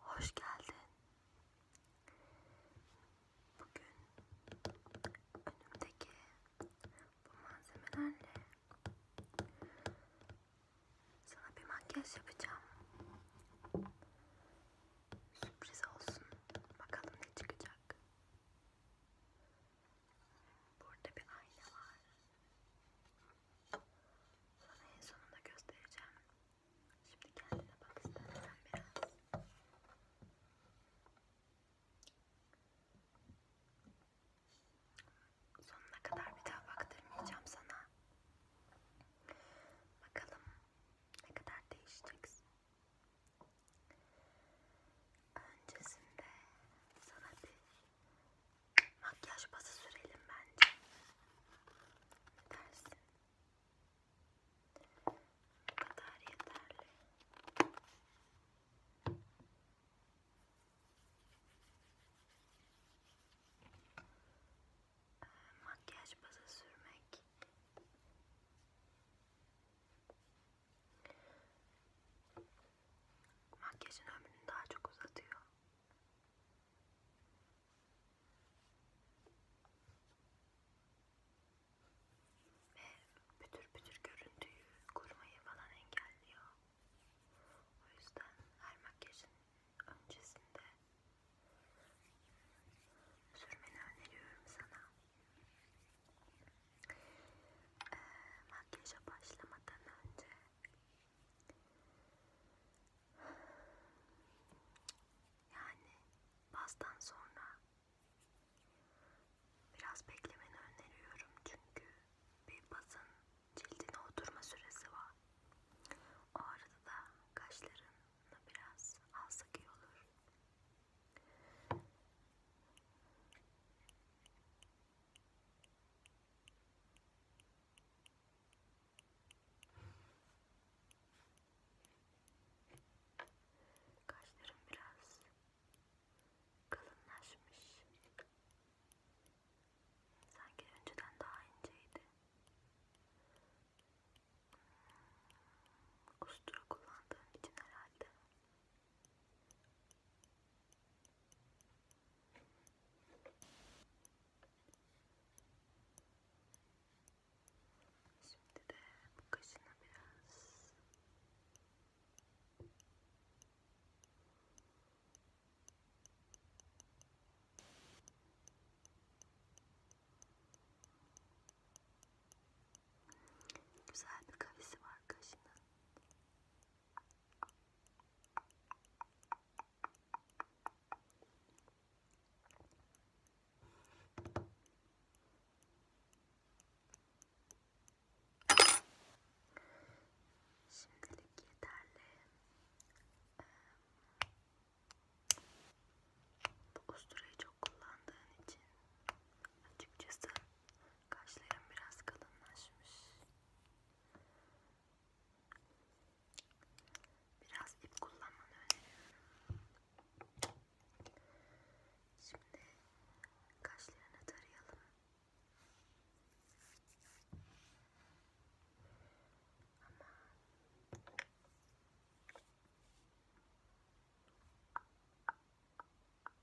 Hoş geldin. Bugün önümdeki bu malzemelerle sana bir makyaj yapacağım. Sürpriz olsun. Bakalım ne çıkacak. Burada bir ayna var. Sana en sonunda göstereceğim. Şimdi kendine bak istersen biraz. Sonuna kadar bir daha baktırmayacağım sana. Bakalım ne kadar değişeceksin. Öncesinde sana bir Makyaj bazı sürelim bence. Ne dersin? Bu kadar yeterli. Makyaj bazı sürmek Makyajın ömrünü daha çok uzatıyor. Ve pütür pütür görüntüyü kurmayı falan engelliyor. O yüzden her makyajın öncesinde sürmeni öneriyorum sana. Ee, makyaja başlamadan önce yani bastan sonra biraz beklemeni öneriyorum çünkü bir basın cildine oturma süresi var. O arada da kaşlarını biraz alsak iyi olur. Kaşlarım biraz kalınlaşmış. Sanki önceden daha inceydi. Hmm, Ustura kullandığım için herhalde. Şimdi de bu kaşına biraz Güzel bir Şimdilik yeterli. Ee, bu usturayı çok kullandığın için açıkçası kaşlarım biraz kalınlaşmış. Biraz ip kullanmanı öneriyorum. Şimdi kaşlarını tarayalım. Ama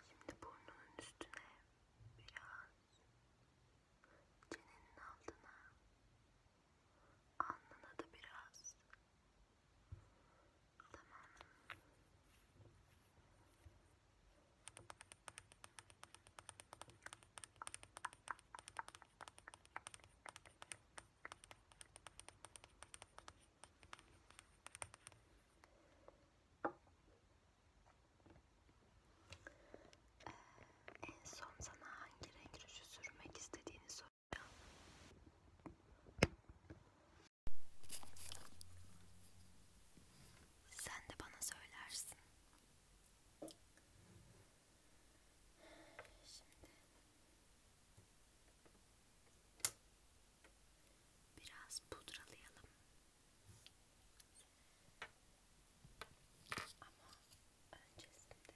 Şimdi burnunun üstüne biraz çenenin altına alnına da biraz tamam ee, en son sana hangi renk ruju sürmek istediğini soracağım. Sen de bana söylersin. Şimdi biraz pudralayalım. Ama öncesinde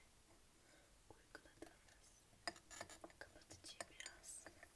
uyguladığımız kapatıcıyı biraz yayalım.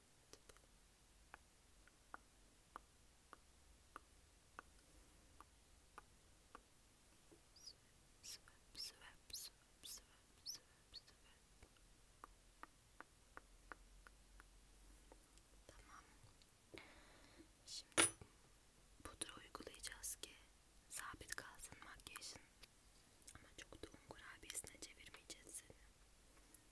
swap, swap, swap, swap, swap, swap. Tamam. Şimdi pudra uygulayacağız ki sabit kalsın makyajın. Ama çok da un kurabiyesine çevirmeyeceğiz seni.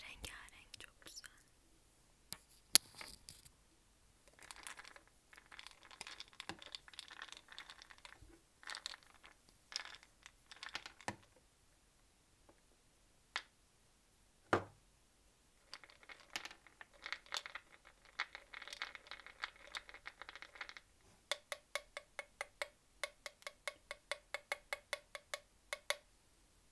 Rengarenk çok güzel.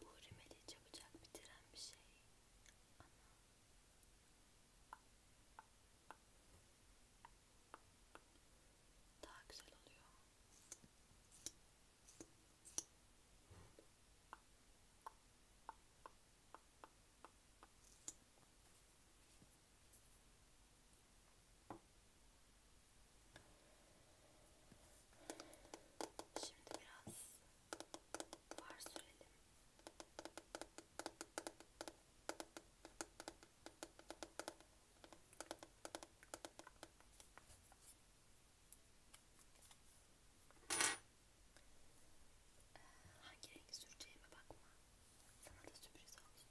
Bu rimeli çabucak bitiren bir şey. Ana. Daha güzel oluyor. Şimdi biraz var sürelim. Hangi rengi süreceğime bakma. Sana da sürpriz olsun.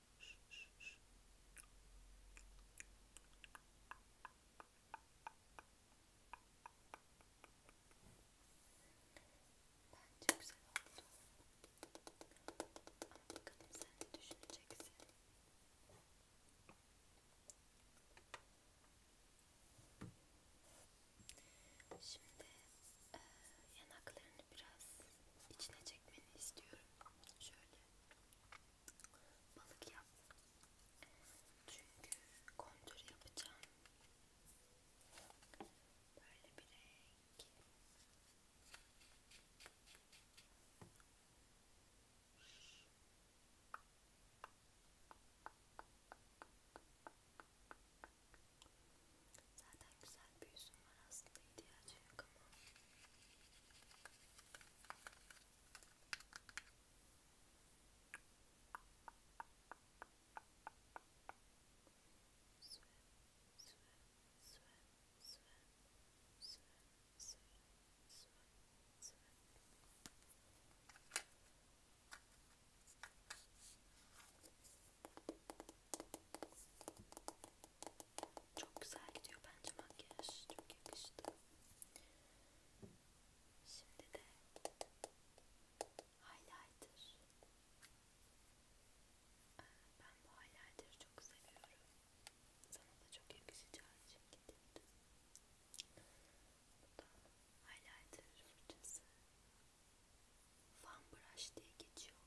Bence güzel oldu. Ama bakalım sen ne düşüneceksin. Şimdi e, yanaklarını biraz içine çekmeni istiyorum. Şöyle balık yap. Çünkü kontür yapacağım. Böyle bir renk. Şöyle Zaten güzel Swim, swim, swim, swim, swim, swim, swim, swim. Çok güzel gidiyor bence makyaj. Çok yakıştı. Şimdi de highlighter. Ee, ben bu highlighter'ı çok seviyorum. Sana da çok yakışacağı için getirdim. Bu da highlighter fırçası fan brush diye geçiyor.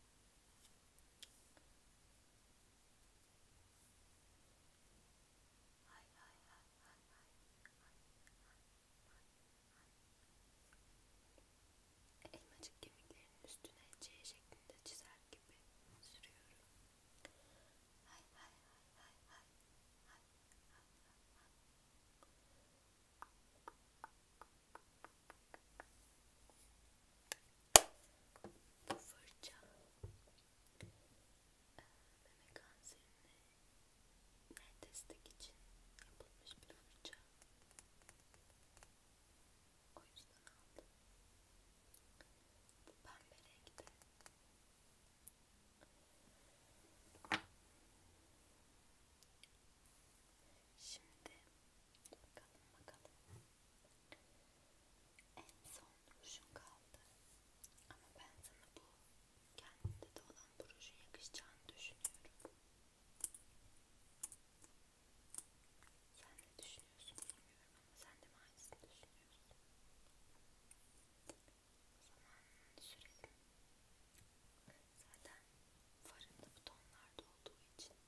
Hay hay hay hay hay hay hay Elmacık kemiklerinin üstüne C şeklinde çizer gibi sürüyorum. Hay hay hay hay hay hay hay hay hay. Bu fırça ee, meme kanserini destek için yapılmış bir fırça. O yüzden aldım. Bu pembe renkte. Şimdi bakalım bakalım. En son rujun kaldı. Ama ben sana bu kendinde de olan bu rujun yakışacağını düşünüyorum. Sen ne düşünüyorsun bilmiyorum ama sen de mi aynısını düşünüyorsun? O zaman sürelim. Zaten farında bu tonlarda olduğu için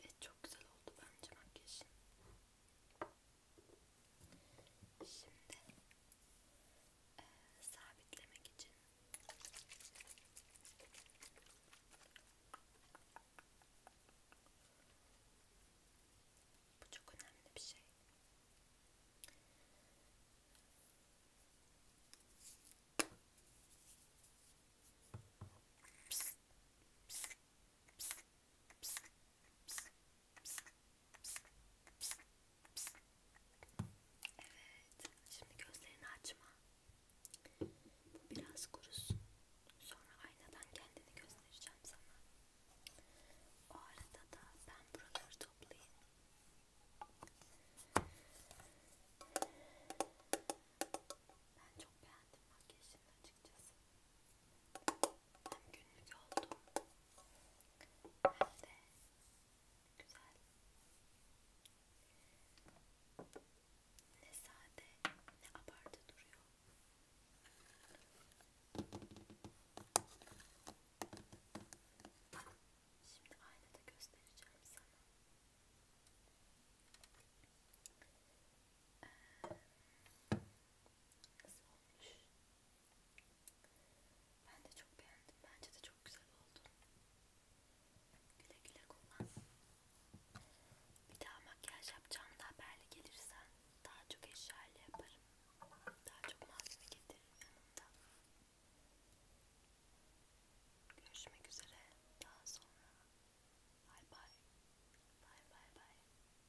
Evet çok güzel oldu bence makyajın. Şimdi e, sabitlemek için bu çok önemli bir şey. Psst, psst, psst, psst, psst, psst, Evet. Şimdi gözlerini açma. Bu biraz kurusun. Sonra aynadan kendini göstereceğim sana. O arada da ben buraları toplayayım. Ben çok beğendim makyajını açıkçası tam günlük oldu. Hem de güzel. Ne sade ne abartı duruyor. Şimdi aynada göstereceğim sana. Ee, nasıl olmuş? Ben de çok beğendim. Bence de çok güzel oldu. Güle güle kullan. Bir daha makyaj yapacağımda haberle gelirsen daha çok eşyayla yaparım. Daha çok malzeme getiririm yanımda. Görüşmek üzere. Daha sonra. Bye bye. Bye bye bye.